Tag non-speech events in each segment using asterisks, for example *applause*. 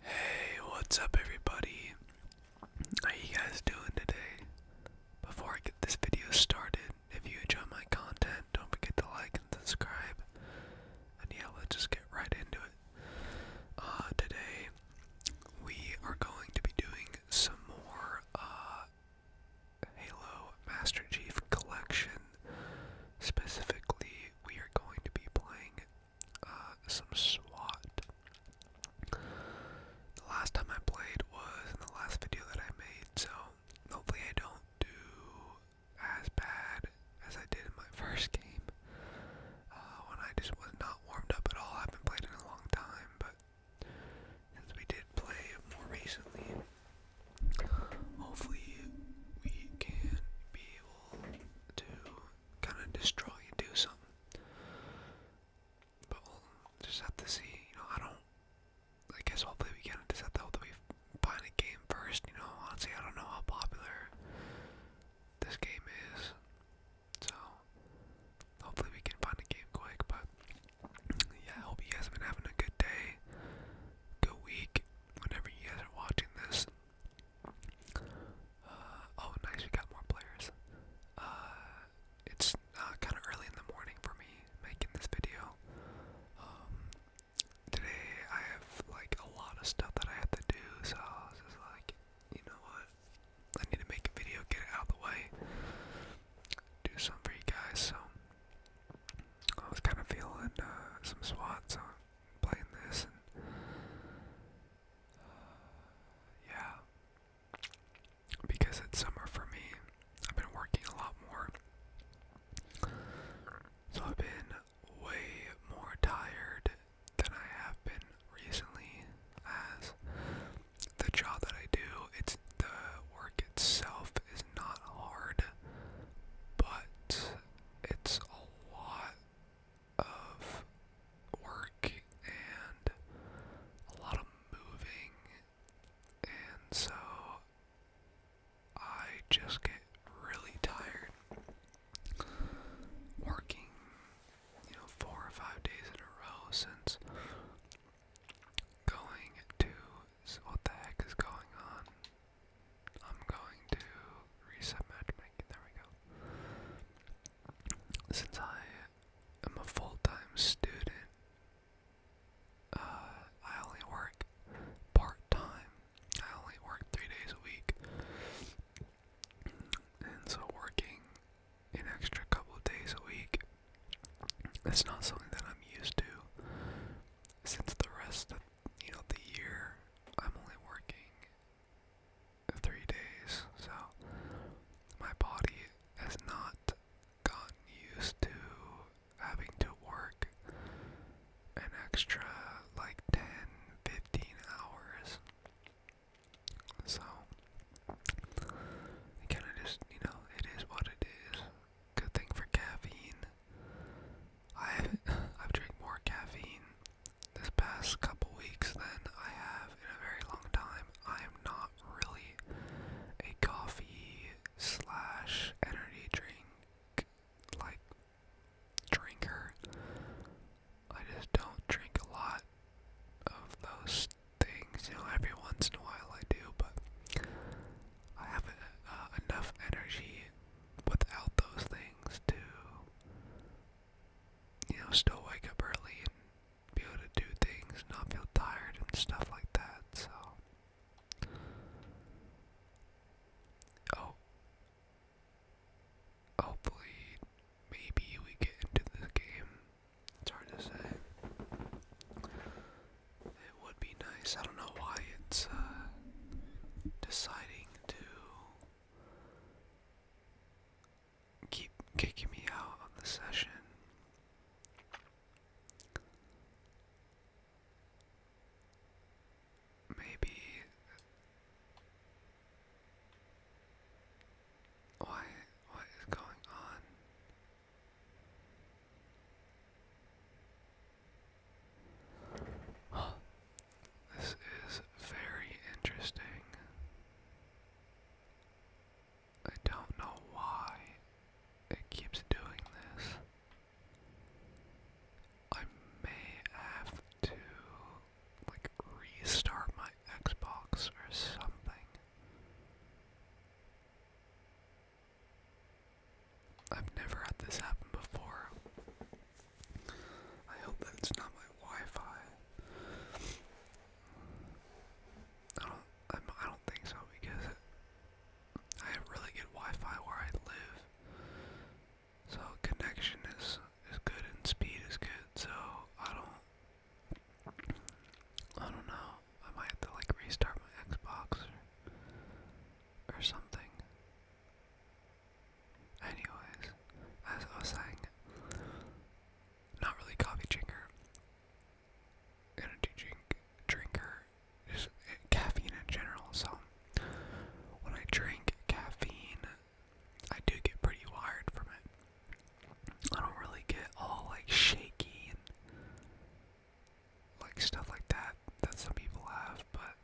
Hey, what's up, everybody? How you guys doing today? Before I get this video started, if you enjoy my content, don't forget to like and subscribe. And yeah, let's just get right into it. Uh, today, we are going to be doing some more uh, Halo Master Chief Collection. Specifically, we are going to be playing uh, some SWAT. The last time I played was in the last video that I made, so hopefully I don't do as bad as I did in my *laughs* first game uh, when I just was not warmed up at all. I haven't played in a long time, but since we did play more recently, hopefully we can be to kind of destroy and do something. But we'll just have to see. You know, I don't. I guess hopefully we can just have to find a game first. You know, honestly, I don't know how popular this game is. So hopefully we can find a game quick. But yeah, I hope you guys been having a good day, good week. Whenever you guys are watching this, uh, oh, nice, we got more players. Uh, it's uh, kind of early in the morning for me making this video. Um, today I have like a lot of stuff that I have to do, so I like, you know what? I need to make a video, get it out of the way, do something for you guys. So I was kind of feeling some SWAT, so playing this and uh, yeah, because it's summer for me, I've been working a lot more, so I've been way more tired than I have been recently. As the job that I do, it's the work itself is not hard, but it's a lot of work and a lot of moving, and so I just get really tired working, you know, four or five days in a row since going to. So what the heck is going on? I'm going to reset matchmaking. There we go. Since I am a full-time student, uh, I only work part-time. I only work three days a week, and so working an extra couple of days a week. It's not something that I'm used to since the rest of you know, the year I'm only working three days, so my body has not gotten used to having to work an extra like 10 15 hours so kind of just you know it is what it is good thing for caffeine I've *laughs* I've drank more caffeine this past couple weeks than I have in a very long time. I am not really a coffee slash energy drink like drinker. I just don't drink a lot of those things. You know, every once in a while I do, but I have uh, enough energy without those things to you know still wake up early and be able to do things, not feel tired and stuff like that. So oh hopefully maybe we get into this game. It's hard to say. It would be nice. I don't know why it's uh, deciding to keep kicking me out of the session. Maybe why what is going on? This is very interesting. I don't know why it keeps doing this. I may have to like restart my Xbox or something. I've never had this happen before. I hope that it's not my Wi-Fi. I don't. I'm, I don't think so because I have really good Wi-Fi where I live, so connection is is good and speed is good. So I don't. I don't know. I might have to like restart my Xbox or, something. Anyways, as I was saying, not really coffee drinker, energy drink drinker, just eh, caffeine in general. So when I drink caffeine, I do get pretty wired from it. I don't really get all like shaky and like stuff like that that some people have, but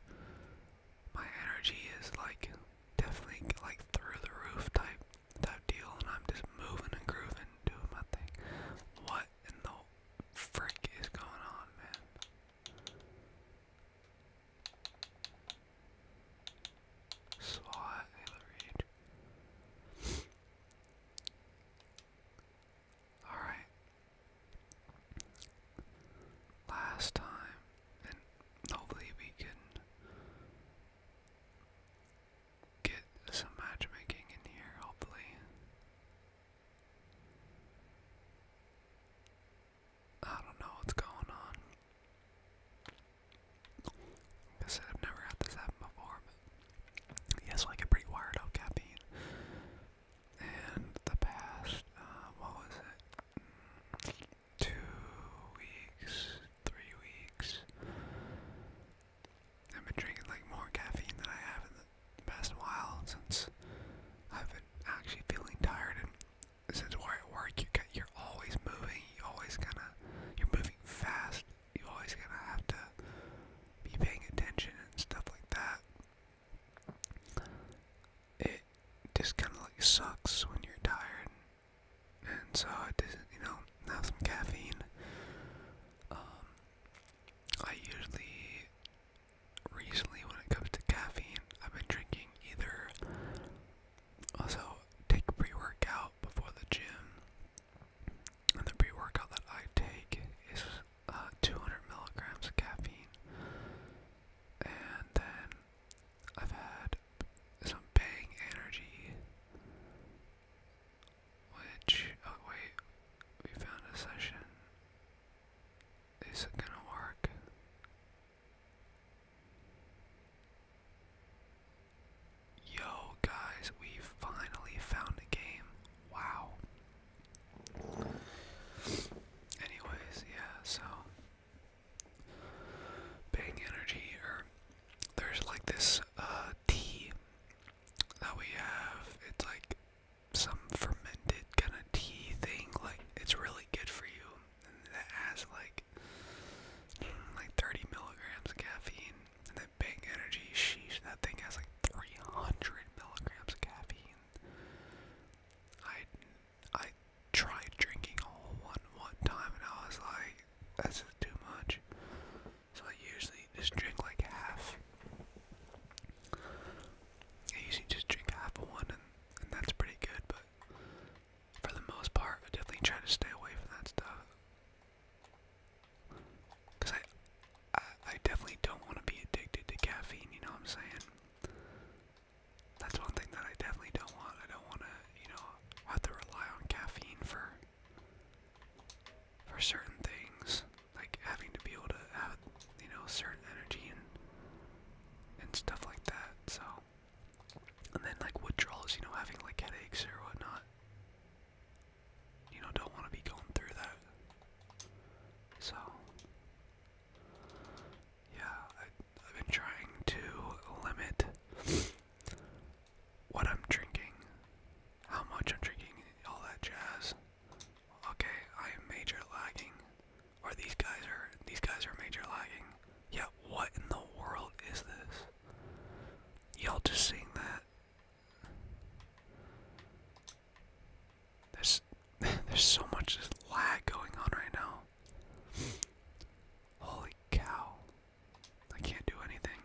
my energy is like definitely like through the roof type type deal and I'm just moving and grooving doing my thing. What in the frick is going on man? SWAT, Halo Alright, last time, and hopefully we can get some matchmaking in here, hopefully. I don't know what's going on. I said, I've never had this happen before, but yes, I get pretty wired up caffeine and the past, uh, what was it? two weeks, three weeks. I've been drinking like more caffeine than I have in the past while since I've been actually feeling tired. And since we're at work, you get, you're always moving. You are always gonna, you're moving fast. You are always gonna have to be paying attention and stuff like that it just kind of like sucks when you're tired, and so I didn't, you know, have some caffeine. Um, I usually, recently, when it comes to caffeine, I've been drinking either. Also, take pre workout before the gym, and the pre workout that I take is uh, 200 milligrams of caffeine, and then I've had some Bang Energy, which oh wait, we found a session. Is it gonna work? Yo guys, we finally found a game. Wow. Anyways, yeah, so Bang Energy, or there's like this uh, tea that we have. It's like some fermented kind of tea thing. Like it's really good for you. that has like mm, like 30 milligrams of caffeine. And then Bang Energy, sheesh, that thing has like 300 milligrams of caffeine. I I tried drinking a whole one one time and I was like, this too much. So I usually just drink like half. I usually just drink half of one and, that's pretty good, but for the most part, I definitely try to stay away from that stuff. Cause I, I definitely don't want to be addicted to caffeine. You know what I'm saying? That's one thing that I definitely don't want. I don't want to, you know, have to rely on caffeine for for certain things, like having to be able to have, you know, certain energy and and stuff like that. So, and then like withdrawals, you know, having like headaches or whatnot. You know, don't want to be going through that. So, yeah, I, I've been trying to limit what I'm drinking, how much I'm drinking, all that jazz. Okay, I am major lagging. Or these guys are these guys are major lagging. Yeah, what in the world is this? Y'all just seeing that? There's *laughs* there's so much lag going on right now. Holy cow. I can't do anything.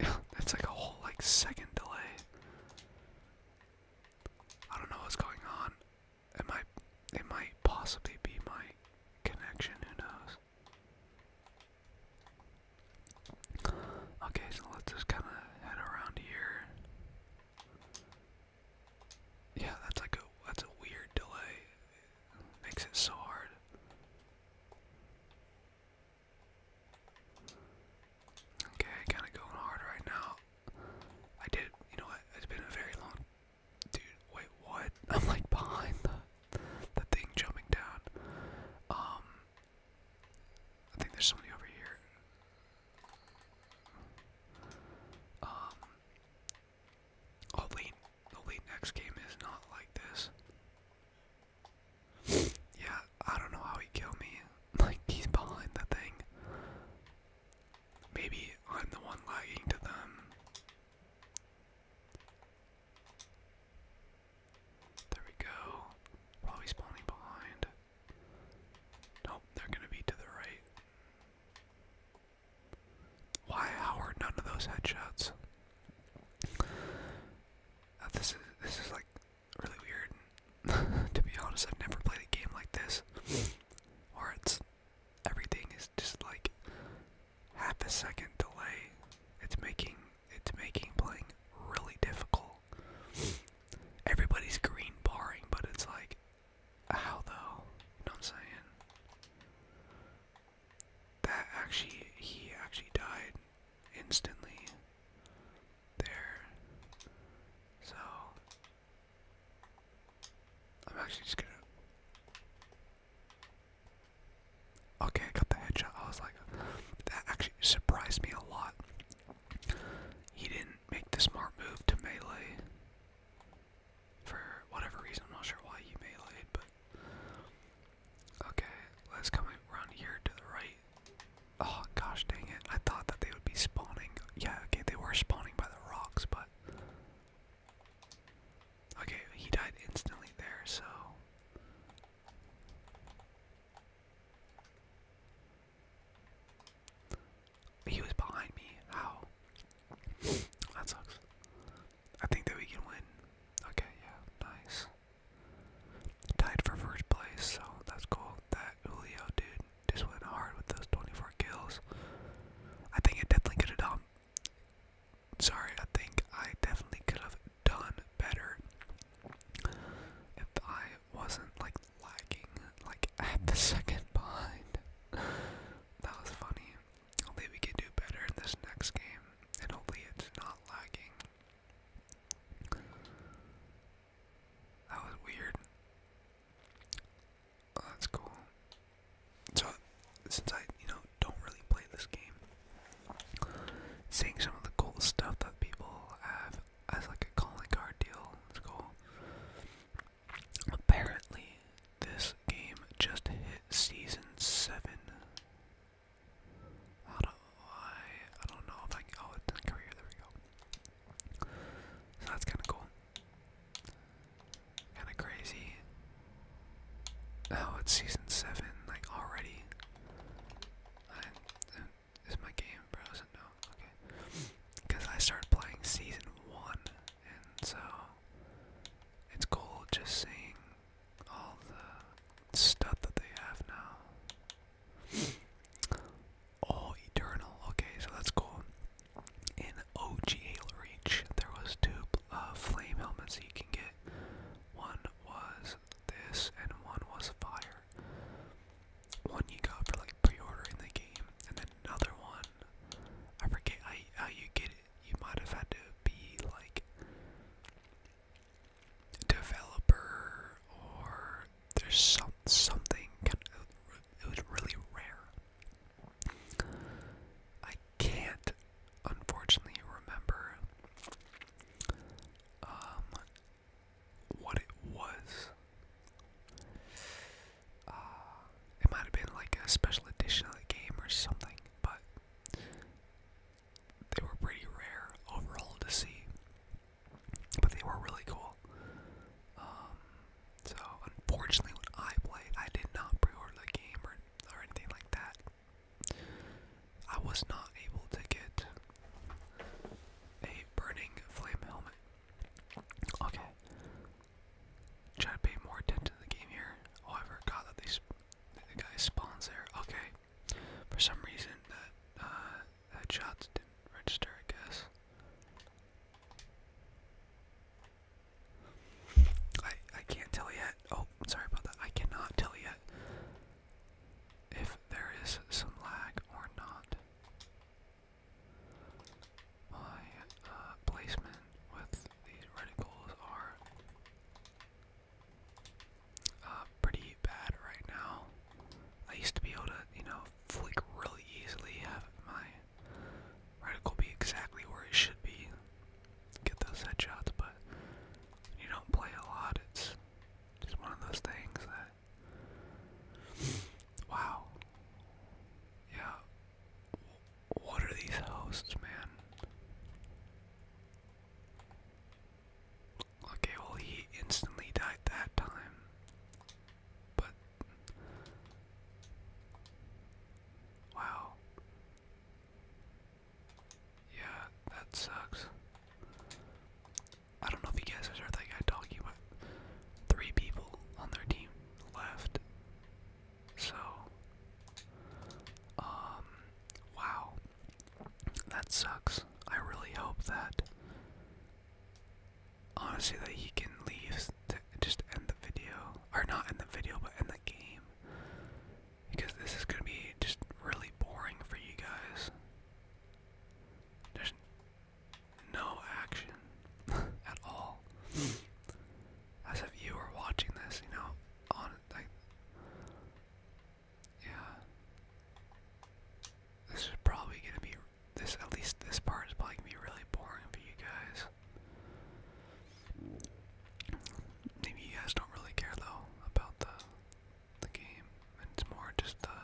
Jeez. *laughs* That's like a whole like second delay. I don't know what's going on. It might it might possibly be my connection, who knows? Okay, so let's just kind of head around here. Yeah, that's like a that's a weird delay. makes it so hard. Okay, kind of going hard right now. I did, you know what? It's been a very long Dude, wait, what? *laughs* I'm like behind the the thing jumping down. Um I think there's somebody over here. Um Oh late next game is not like this. *laughs* Yeah, I don't know how he killed me. *laughs* Like he's behind the thing. Maybe I'm the one lagging to them. There we go. Probably spawning behind. Nope, they're gonna be to the right. Why Howard none of those headshots? Uh, this is this is like really weird. *laughs* to be honest, I've never played a game like this. Or everything is just like half a second delay. It's making it's making playing really difficult. Everybody's green barring, but it's like how though? You know what I'm saying? That actually he actually died instantly there. So I'm actually just gonna Okay, I got the headshot. I was like, that actually surprised me a lot. He didn't make the smart move to melee. For whatever reason, I'm not sure why he meleeed, but. Okay, let's come around here to the right. Oh, gosh dang it. I thought that they would be spawning. Yeah, okay, they were spawning by the rocks, but. Okay, he died instantly there, so. He was behind me. How? That sucks. I think that we can win. Okay, yeah, nice. Tied for first place, so that's cool. That Julio dude just went hard with those 24 kills. I think he definitely got have done sorry, I think I definitely could have done better if I wasn't like lagging like *laughs* at the second behind. that was funny. Hopefully we can do better in this next game, and hopefully it's not lagging. That was weird. Oh, that's cool. So, since I, you know, don't really play this game, seeing some of the cool stuff that people have as like a calling card deal is cool. Apparently, this game just hit season seven. How do I? I don't know if I Oh, it not come There we go. So that's kind of cool. Kind of crazy. Oh, it's season seven, like already. Uh, is my game frozen? No, okay. Because I started playing season one, and so it's cool just seeing all the stuff that they have now. Oh, Eternal. Okay, so that's cool. In OGL Reach, there was two uh, flame helmets you can get. One was this, and one was fire. One you got for like pre-ordering the game, and then another one. I forget how, you get it. You might have had to be like developer, or there's some something. Kind of, it was really rare. I can't, unfortunately, remember um, what it was. Uh, it might have been like a special edition of the game or something, but they were pretty rare overall to see. But they were really cool. Um, so unfortunately, when I played, I did not pre-order the game or or anything like that. I was not able to get a burning flame helmet. Okay. Try to pay more attention to the game here. Oh, I forgot that these the guys spawns there. Okay. For some reason that uh that shots didn't register, I guess. I I can't tell yet. Oh, sorry about that. I cannot tell yet if there is some lag or not. My uh, placement with these radicals are uh, pretty bad right now. I used to be able to, you know, flick really easily, have my Reticle be exactly where it should be. Get those headshots, but you don't play a lot, it's just one of those things that. *sighs* Wow. Yeah. What are these hosts, man? Okay, well, he instantly died that time. But Wow. Yeah, that sucks. I don't know if you guys heard that guy talking about three people on their team left. So, um, wow. That sucks. I really hope that, honestly, that he can leave just end the video, or not end the video, but end the game, because this is gonna be just really boring for you guys. There's no action *laughs* at all. As if you were watching this, you know, on like, yeah. This is probably gonna be this. At least this part is probably gonna be really boring for you guys. Maybe you guys don't really care though about the the game. It's more just the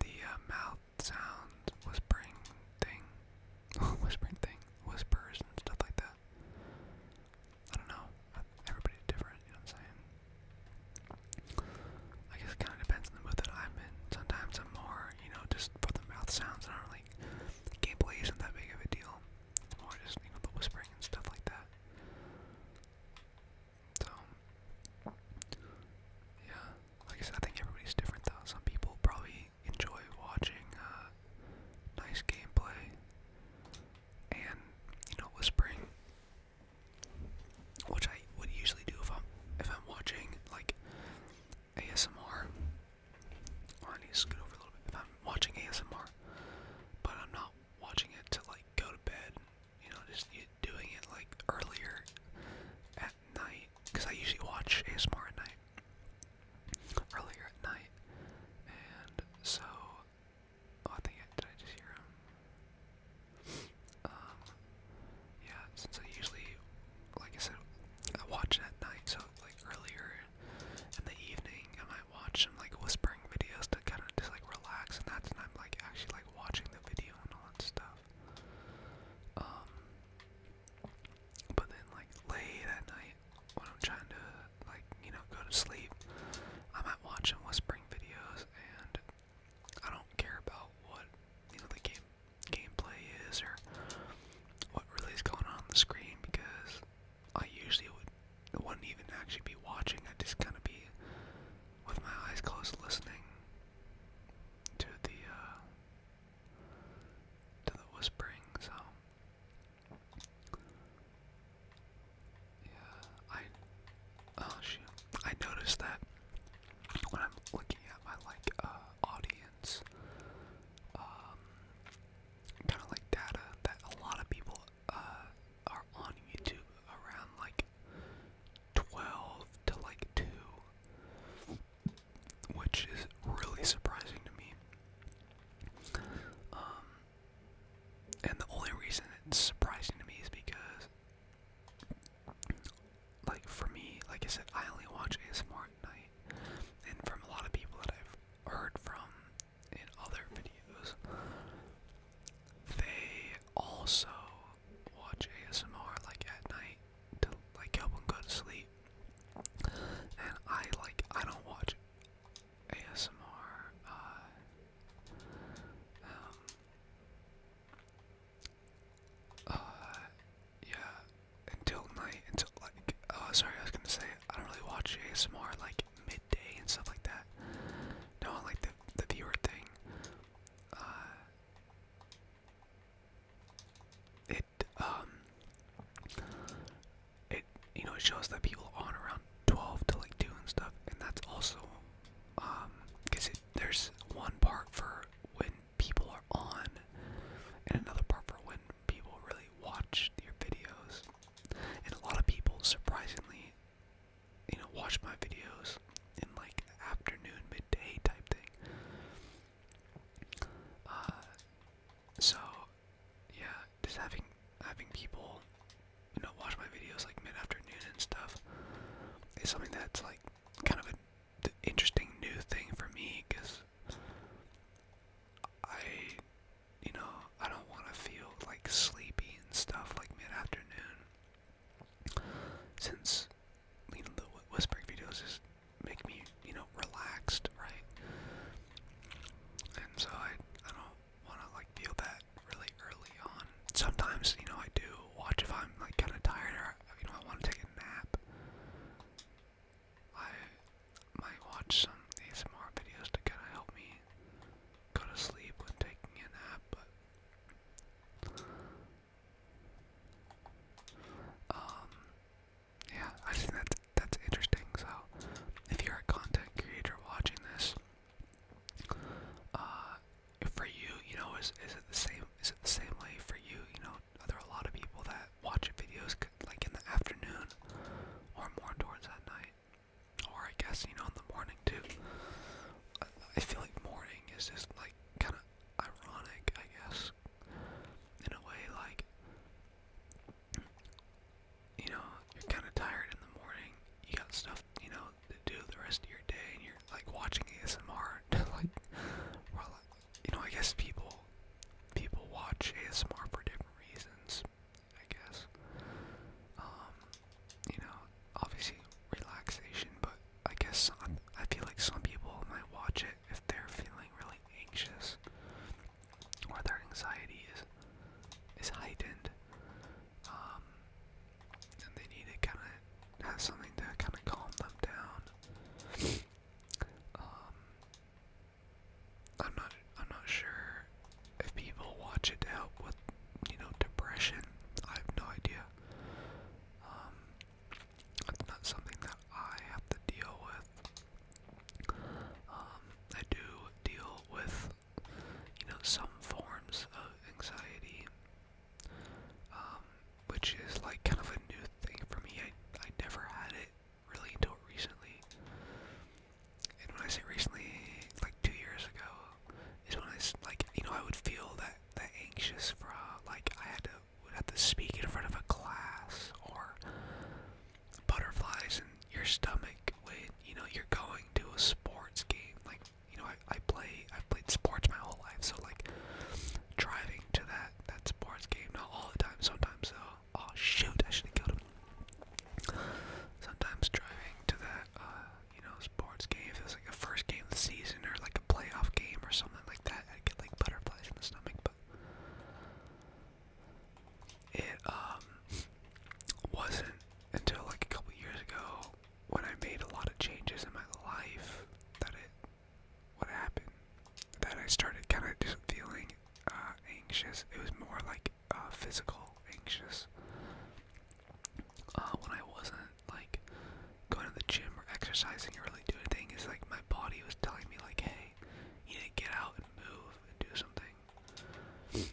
the uh, mouth sound whispering thing, *laughs* whispering thing, whispers and stuff like that. I don't know. Everybody's different, you know what I'm saying? I guess it kind of depends on the mood that I'm in. Sometimes I'm more, you know, just for the mouth sounds. I don't really, gameplay isn't that big of a deal. It's more just, you know, the whispering and stuff like that. So, yeah. Like I said, I think everybody's different though. Some people probably enjoy watching uh, nice gameplay and, you know, whispering which I would usually do if I'm if I'm watching like ASMR. I need to scoot over a little bit. If I'm watching ASMR, but I'm not watching it to like go to bed, you know, just doing it like earlier at night, because I usually watch ASMR at night, earlier at night, and so. Oh, I think I, did I just hear um, yeah, since I usually, like I said, I watch at night, so like earlier in the evening, I might watch some like whispering videos to kind of just like relax, and that's when I'm like actually like watching the video and all that stuff. Um, but then like late at night, when I'm trying to like you know go to sleep, I might watch some whispering videos, and I don't care about what you know the game gameplay is or what really is going on on the screen because I usually would wouldn't even actually be watching. I'd just kind of be with my eyes closed, listening to the uh, to the whispering. So yeah, I oh shoot, I noticed that when I'm looking at my like uh, audience, um, kind of like data that a lot of people uh, are on YouTube around like 12 to like 2, which is really surprising to me. Um, and the only reason it's surprising to me is because like for me, like I said, I only watch ASMR at night, and from a lot of people that I've heard from in other videos, they also watch ASMR like at night to like help them go to sleep. And I like I don't watch ASMR. Uh, um, uh, yeah, until night, until like, oh, sorry, I was gonna say, I don't really watch ASMR like midday and stuff like that. No, I like the, the viewer thing. Uh, it, um, it, you know, it shows that people on around 12 to like 2 and stuff, and that's also, um, because there's one part for when people are on, and another part for when people really watch your videos. And a lot of people, surprisingly, you know, watch my videos in like afternoon, midday type thing. Uh, so yeah, just having having people you know watch my videos like mid afternoon and stuff is something that's like kind of an interesting new thing for me because I, you know, I don't want to feel like sleepy and stuff like mid afternoon. Since you know, the whispering videos just make me, you know, relaxed, right? And so I, I don't want to like feel that really early on. Sometimes, you know, I do watch if I'm like kind of tired or you know I want to take a nap. I might watch some ASMR videos to kind of help me go to sleep when taking a nap. But um, yeah, I just think that's that's interesting. So if you're a content creator watching this. Uh, for you, you know, is is it the same? Is it the same way for you? You know, are there a lot of people that watch videos like in the afternoon, or more towards that night, or I guess you know in the morning too? I feel like morning is just like kind of ironic, I guess, in a way like. You know, you're kind of tired in the morning. You got stuff, you know, to do the rest of your day and you're like watching ASMR *laughs* like well you know I guess people people watch ASMR for different reasons I guess um you know obviously relaxation but I guess some, I feel like some people might watch it if they're feeling really anxious or their anxiety is is heightened um, and they need to kind of have something to kind of calm them down. Um, I'm not. I'm not sure if people watch it to help with, you know, depression. I have no idea. Um, it's not something that I have to deal with. Um, I do deal with, you know, some forms of anxiety um, which is like kind of a new thing for me. I, I never had it really until recently. And when I say recently, like two years ago, is when I like you know I would feel that that anxious for uh, like I had to would have to speak in front of a class or butterflies in your stomach when you know you're going to a sports game like you know, I, I play, I've played sports my whole life, so like driving to that, that sports game, not all the time, sometimes though, oh shoot, I should have killed him. Sometimes driving to that, uh, you know, sports game, if it was like a first game of the season or like a playoff game or something like that, I'd get like butterflies in the stomach, but it, um, wasn't until like a couple years ago when I made a lot of changes in my life, that it, what happened, that I started kind of just feeling uh, anxious. It was more like uh, physical anxious. Uh, when I wasn't like going to the gym or exercising or really doing anything, it's like my body was telling me like, hey, you need to get out and move and do something.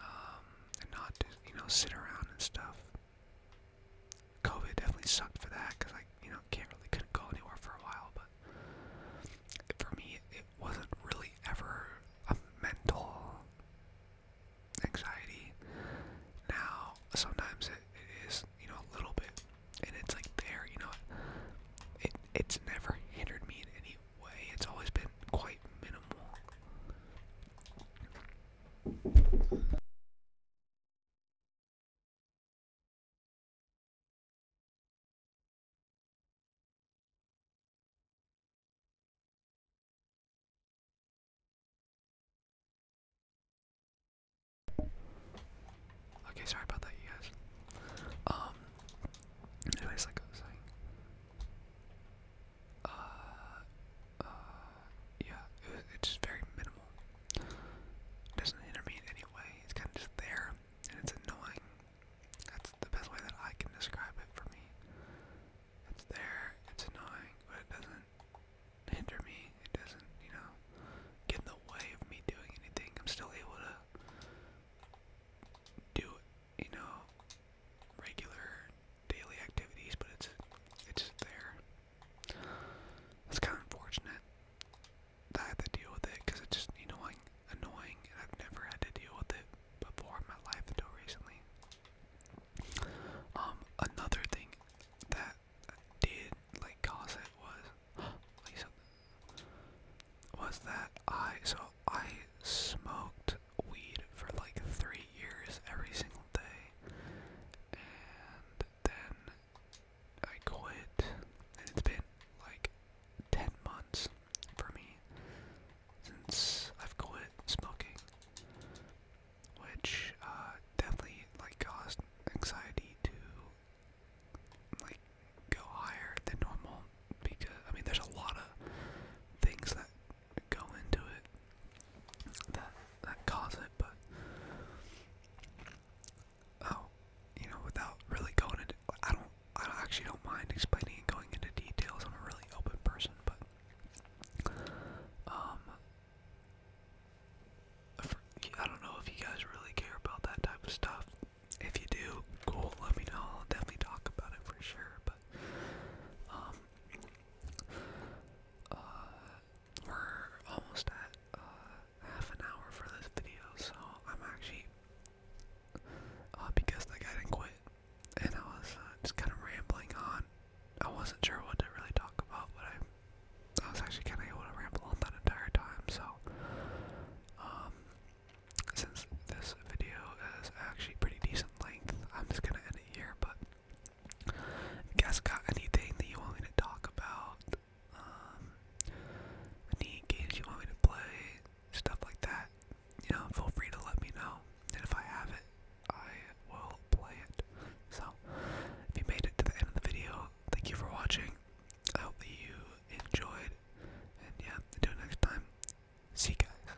Um, and not, you know, sit around and stuff. COVID definitely sucked for that because I, you know, can't really couldn't go anywhere for a while. But for me, it wasn't really ever a mental anxiety. Now, sometimes it is, you know, a little bit, and it's like there, you know, it it's never hindered me in any way. It's always been quite minimal. Okay, sorry about that, you guys. Um, anyways, like uh, uh, yeah, it's just very minimal. It doesn't hinder me in any way. It's kind of just there, and it's annoying. That's the best way that I can describe it for me. It's there, it's annoying, but it doesn't hinder me. It doesn't, you know, get in the way of me doing anything. I'm still able to do, you know, regular daily activities, but it's it's there. It's kind of unfortunate that I had to deal with it because it's just annoying. annoying, I've never had to deal with it before in my life until recently. Um, another thing that did like cause it was *gasps* was that I so I smoked weed for like three years every single day, and then I quit, and it's been like 10 months for me since I've quit smoking, which uh, definitely like caused anxiety to like go higher than normal because I mean there's a lot of things that go into it that that cause it, but oh, you know, without really going into, I don't, I actually don't mind explaining and going into details. I'm a really open person, but um, I don't know if you guys really care about that type of stuff. If you do, cool, let me know. I'll definitely talk about it for sure. But um, uh, we're almost at uh, half an hour for this video, so I'm actually uh, because the guy didn't quit, and I was just kind of rambling on. I wasn't sure what to really talk about, but I, was actually kind of able to ramble on that entire time. So, um, since this video is actually pretty decent length, I'm just gonna end it here. But guys got anything that you want me to talk about? Um, any games you want me to play? Stuff like that. You know, feel free to let me know. And if I have it, I will play it. So, if you made it to the end of the video, thank you for watching. I hope that you enjoyed. And yeah, until next time, see guys.